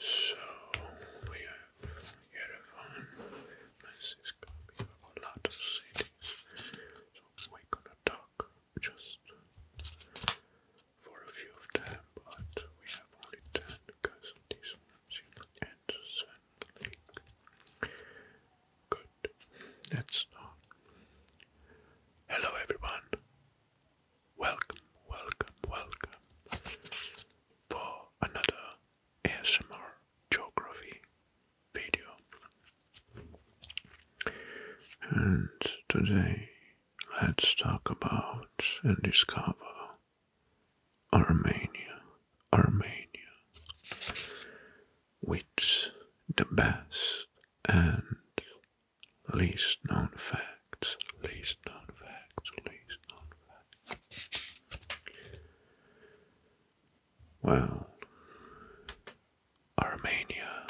So we have Yerevan, Moses, Colombia, a lot of cities. So we're gonna talk just for a few of them, but we have only 10 because these ones and Sand Good, let's Hello everyone, Welcome, welcome, welcome for another ASMR geography video. And today let's talk about and discover Armenia, Armenia, which the best and Least known facts, least known facts, least known facts. Well, Armenia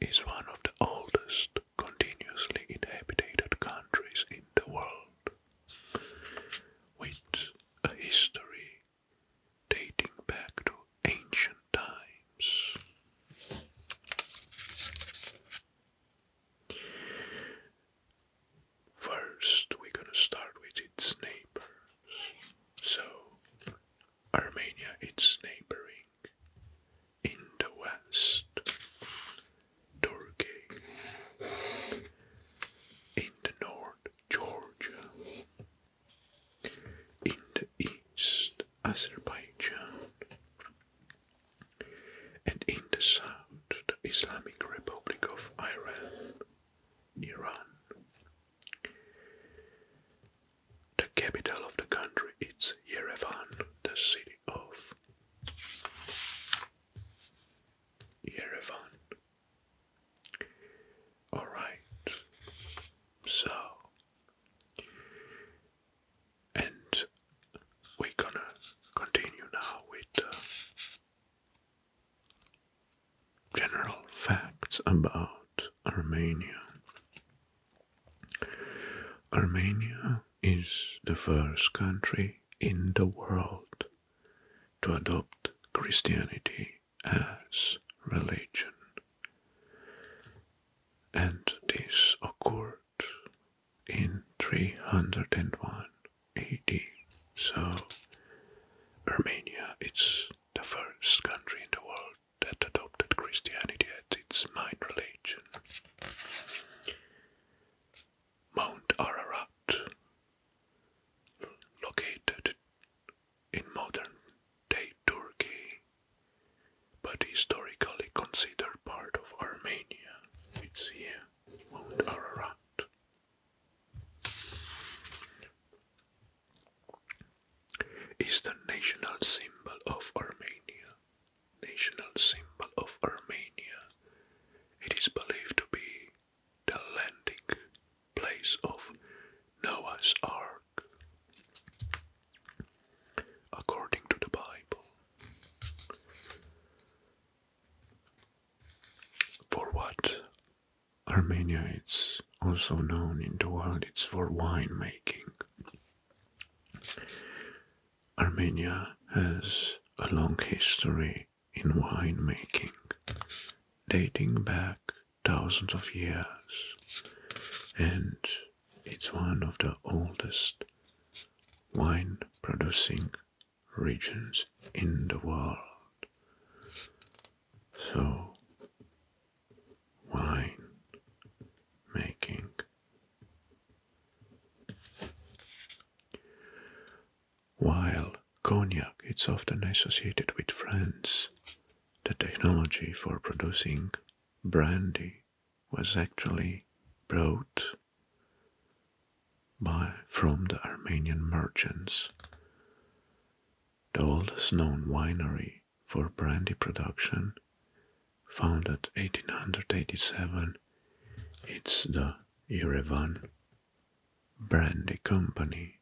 is one of the oldest continuously inhabited countries in the world, with a history dating back to ancient times. First, we're gonna start with its neighbors. So, Armenia, it's neighboring in the west, Turkey, in the north, Georgia, in the east, Azerbaijan, and in the south the Islamic Republic of Iran, Iran. The capital of the country is Yerevan, the city of Yerevan. Alright, so and we're gonna continue now with uh, general facts about Armenia. Armenia is the first country in the world to adopt Christianity as religion. And this occurred in 301 AD. So, Armenia it's the first country in the world that adopted Christianity as its main religion. Mount Ararat, located in modern day Turkey, but historically considered part of Armenia. It's here, Mount Ararat. Is the national symbol of Armenia. National symbol of Armenia. It is believed to be the landing place of Noah's Ark according to the Bible. For what? Armenia is also known in the world, it's for winemaking. Armenia has a long history in winemaking, dating back thousands of years, and it's one of the oldest wine producing regions in the world. So, wine making. While cognac is often associated with France, the technology for producing brandy was actually brought by from the Armenian merchants. The oldest known winery for brandy production, founded 1887, it's the Yerevan Brandy Company,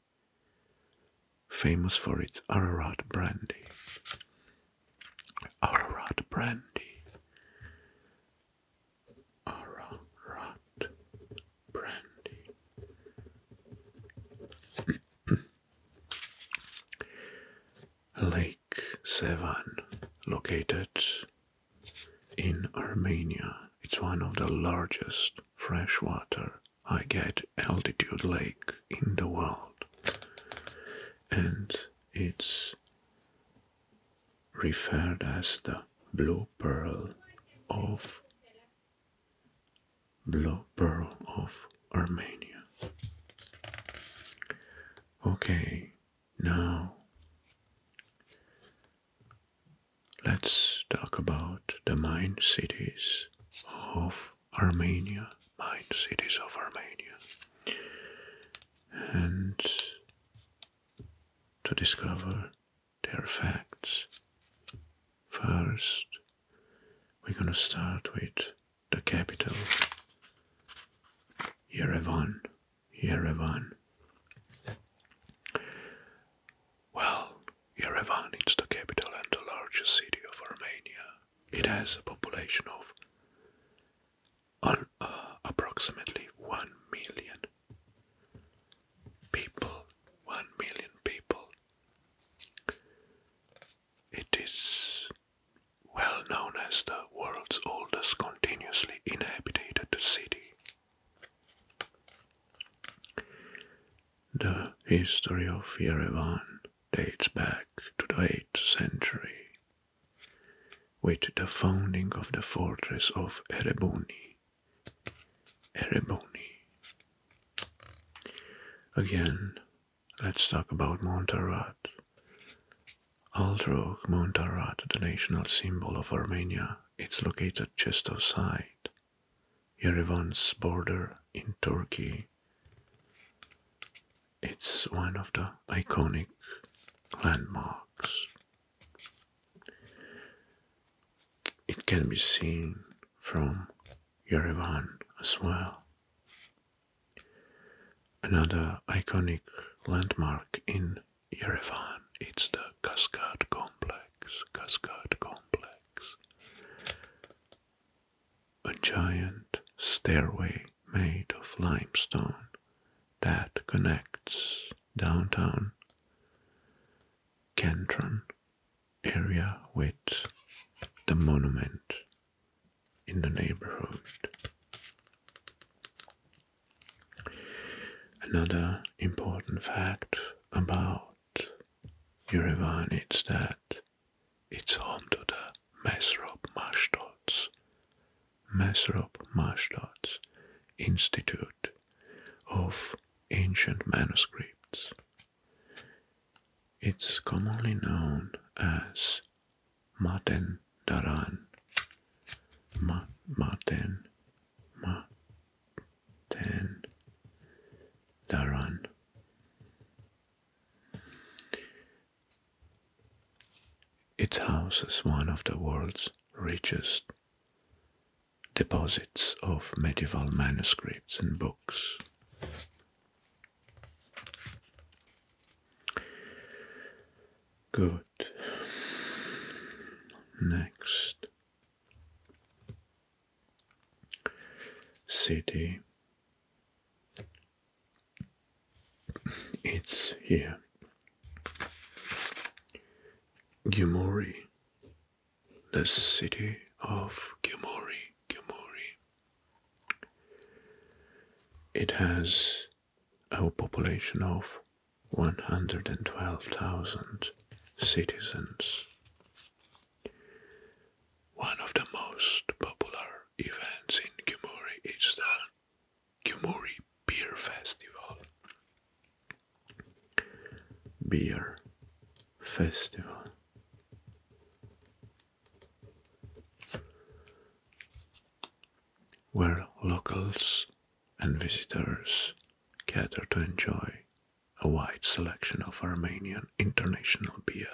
famous for its Ararat brandy. Ararat brandy. Ararat brandy. Lake Sevan, located in Armenia, it's one of the largest freshwater high altitude lake in the world and it's referred as the blue pearl of blue pearl of Armenia. Okay, now let's talk about the mine cities of Armenia, nine cities of Armenia, and to discover their facts. First, we're going to start with the capital, Yerevan. Yerevan. Well, Yerevan is the capital and the largest city of Armenia it has a population of uh, approximately 1 million people. 1 million people. It is well known as the world's oldest continuously inhabited city. The history of Yerevan dates back to the 8th century, with the founding of the fortress of Erebuni. Erebuni. Again, let's talk about Montarat. Although Montarat, the national symbol of Armenia, it's located just outside Yerevan's border in Turkey it's one of the iconic landmarks. It can be seen from Yerevan as well. Another iconic landmark in Yerevan it's the Cascade Complex. Cascade Complex a giant stairway made of limestone that connects downtown Cantron area with the monument in the neighborhood. Another important fact about Yerevan is that it's home to the Mesrop Mashdots, Mesrop Mashdots Institute of Ancient Manuscripts. It's commonly known as Martin Daran. Martin, Maten Maten Daran. It houses one of the world's richest deposits of medieval manuscripts and books. Good. Next. City it's here. Gimori, the city of Gimori, Gimori. It has a population of 112,000 citizens. One of the most popular events in Kumuri is the Kumuri Beer Festival. Beer Festival. Where locals and visitors gather to enjoy a wide selection of Armenian international beer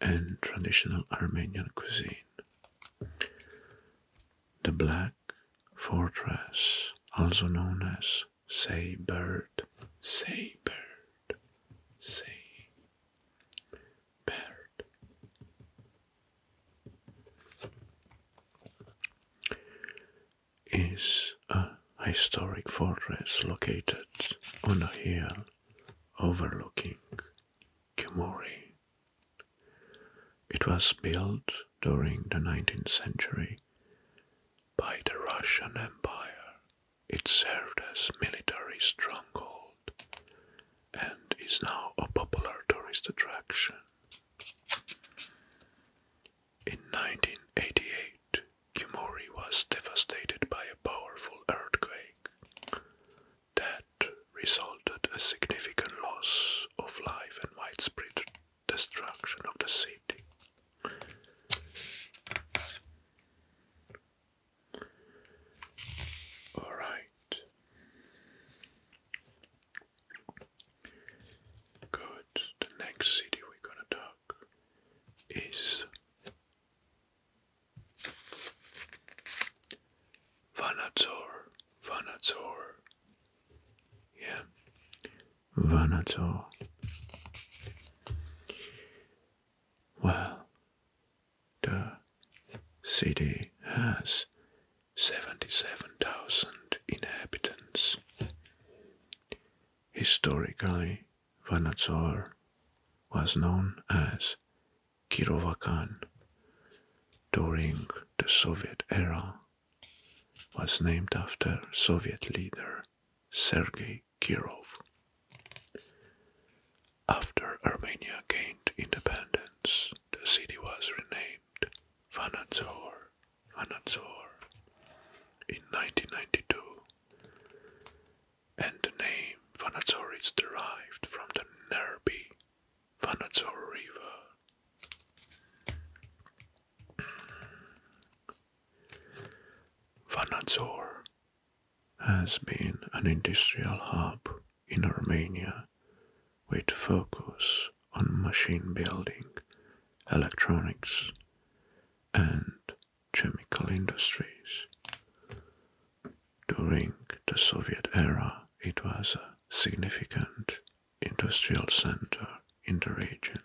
and traditional Armenian cuisine. The Black Fortress, also known as Seybird, Seybird, Seybird, is a historic fortress located on a hill overlooking Kumori. It was built during the 19th century by the Russian Empire. It served as military stronghold and is now a popular tourist attraction. In 1988, Kumori was devastated by a powerful earthquake that resulted a significant loss of life and widespread destruction of the city. All right. Good. The next city we're going to talk is Vanator, Vanator, yeah, Vanator. Well, the city has 77,000 inhabitants. Historically, Vanatsar was known as Kirova during the Soviet era was named after Soviet leader Sergei Kirov. After Armenia gained independence, the city was renamed Vanadzor Anantsvar in 1992, and the name Vanatsor is derived from the Nerbi Vanatsor River. Vanatsor has been an industrial hub in Armenia with focus on machine building, electronics, and chemical industries. During the Soviet era, it was a significant industrial center in the region.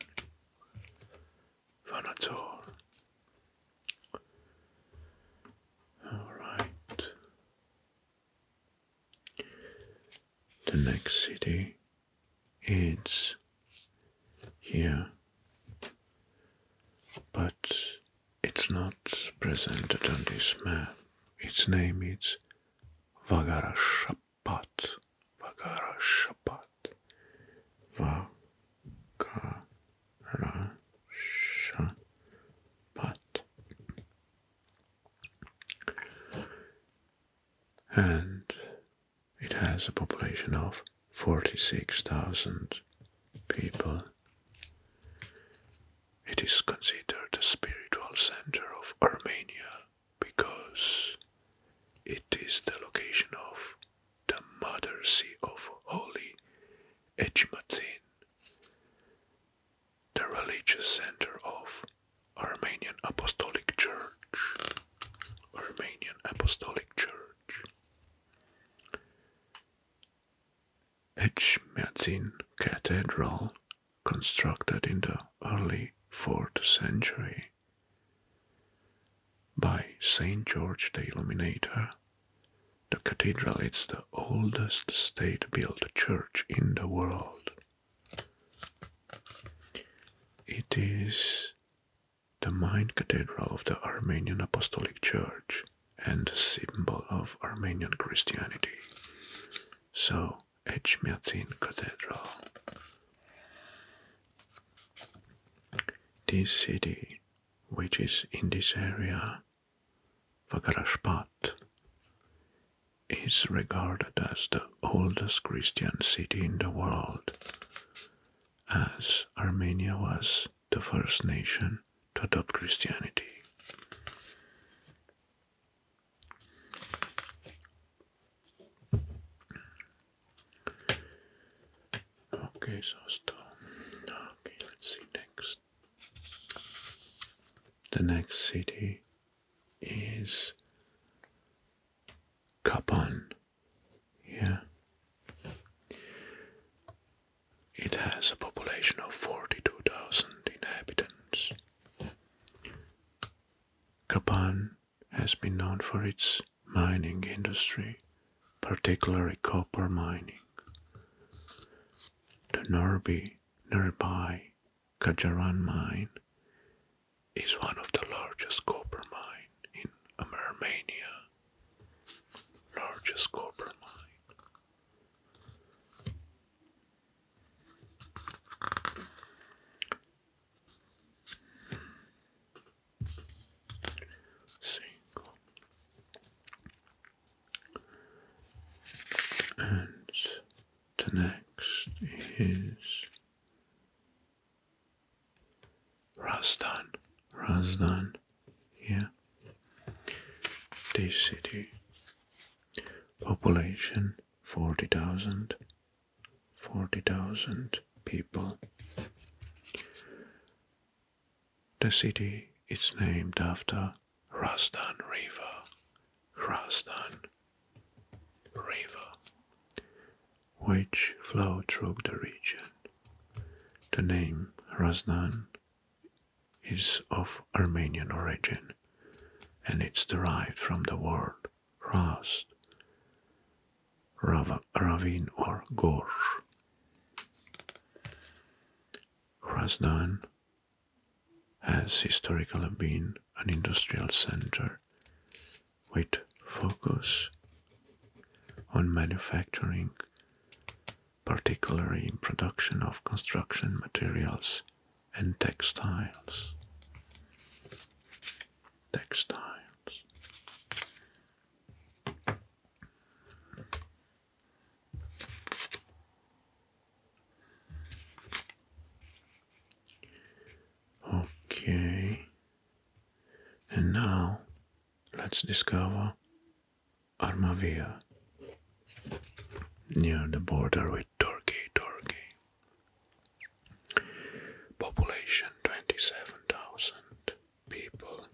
Vanator. Alright. The next city it's here, but it's not presented on this map. Its name is Vagarashapat. Vagarashapat. Vagarashapat. And it has a population of 46,000 people. It is considered the spiritual center of Armenia because it is the location of the mother see of Holy Echmatin, the religious center of Armenian Apostolic Church. Romanian Apostolic Church. Echmiadzin Cathedral, constructed in the early 4th century by St. George the Illuminator, the cathedral is the oldest state built church in the world. It is the main cathedral of the Armenian Apostolic Church and symbol of Armenian Christianity. So, Echmiadzin Cathedral. This city, which is in this area, Vakarashpat, is regarded as the oldest Christian city in the world, as Armenia was the first nation to adopt Christianity. Okay, so stone. Okay, let's see next. The next city is Kapan yeah. It has a population of 42,000 inhabitants. Kapan has been known for its mining industry, particularly copper mining. The Norby nearby Kajaran mine is one of the largest copper mine in Romania. Largest copper mine. Single. And the next is Razdan, Razdan, yeah. This city, population 40,000, 40,000 people. The city is named after Razdan River, Razdan River, which flowed through the region. The name Razdan is of Armenian origin and it's derived from the word Rast, Ravine or Gorge. Razdan has historically been an industrial center with focus on manufacturing, particularly in production of construction materials and textiles. Textiles. Okay. And now let's discover Armavir near the border with Turkey. Turkey. Population 27,000 people.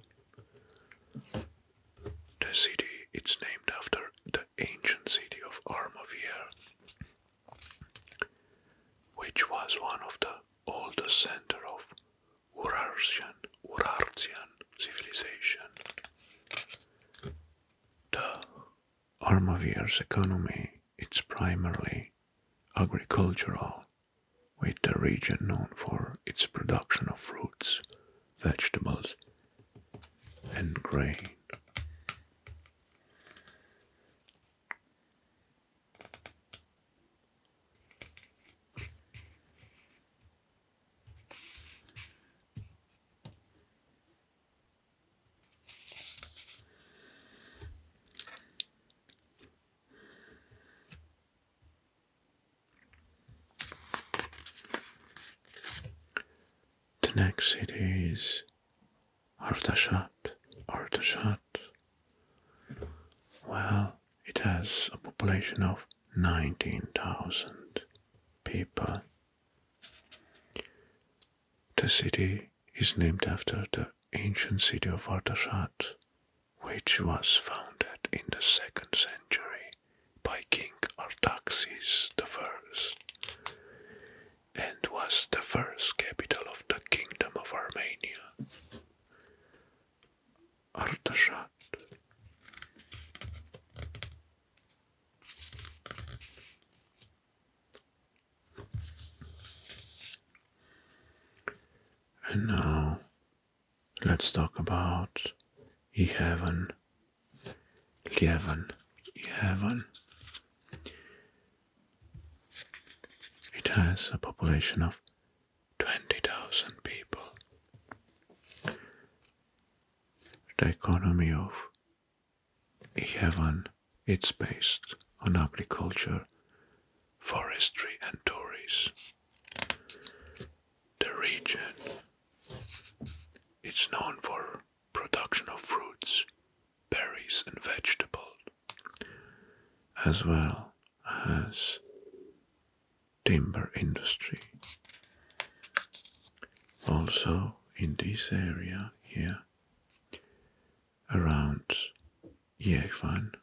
The city it's named after the ancient city of Armavir which was one of the oldest centers of Urartian, Urartian civilization. The Armavir's economy is primarily agricultural, with the region known for its production of fruits, vegetables, and grain. The next city is Artashat, Artashat. Well, it has a population of 19,000 people. The city is named after the ancient city of Artashat, which was founded in the 2nd century by King Artaxes First and was the first capital of the Kingdom of Armenia. Artashat And now let's talk about Yerevan. Yerevan. Yerevan it has a population of 20,000 people. The economy of Heaven is based on agriculture, forestry and tourism. The region is known for production of fruits, berries, and vegetables, as well as timber industry. Also, in this area here, around Yerevan,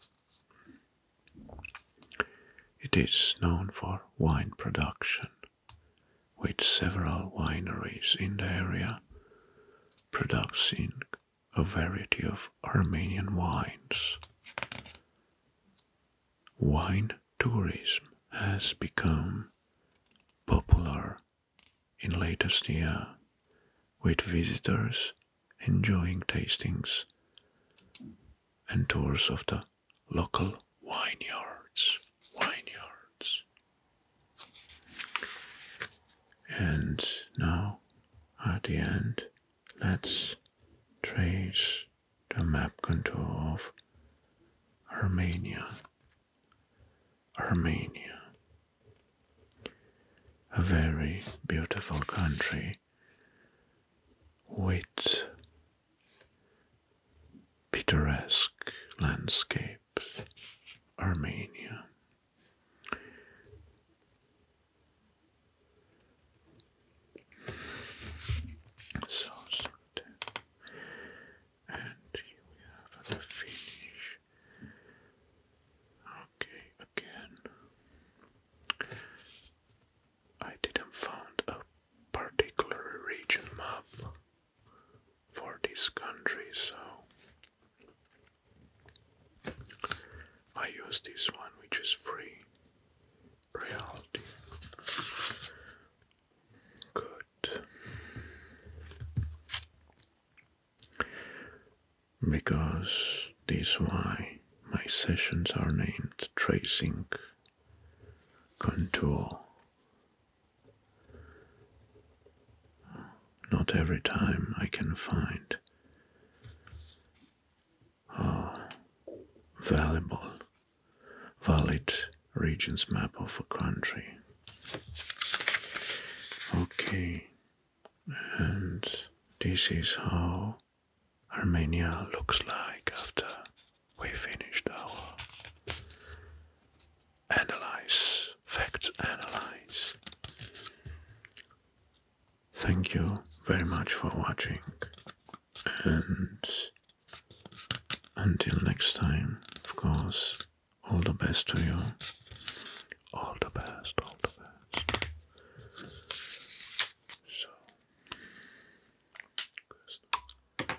it is known for wine production with several wineries in the area, producing a variety of Armenian wines. Wine tourism has become popular in latest year, with visitors enjoying tastings and tours of the local vineyards. Vineyards. And now, at the end, let's trace the map contour of Armenia. Armenia, a very beautiful country with picturesque landscape Armenia. So And here we have the finish. Okay, again. I didn't found a particular region map for this country, so I use this one, which is free. Reality. Good. Because this why my sessions are named tracing contour not every time I can find a ah, valuable, valid regions map of a country. Okay, and this is how Armenia looks like after we finished our analyze, fact analyze. Thank you very much for watching, and until next time, of course, all the best to you. All the best, all the best. So.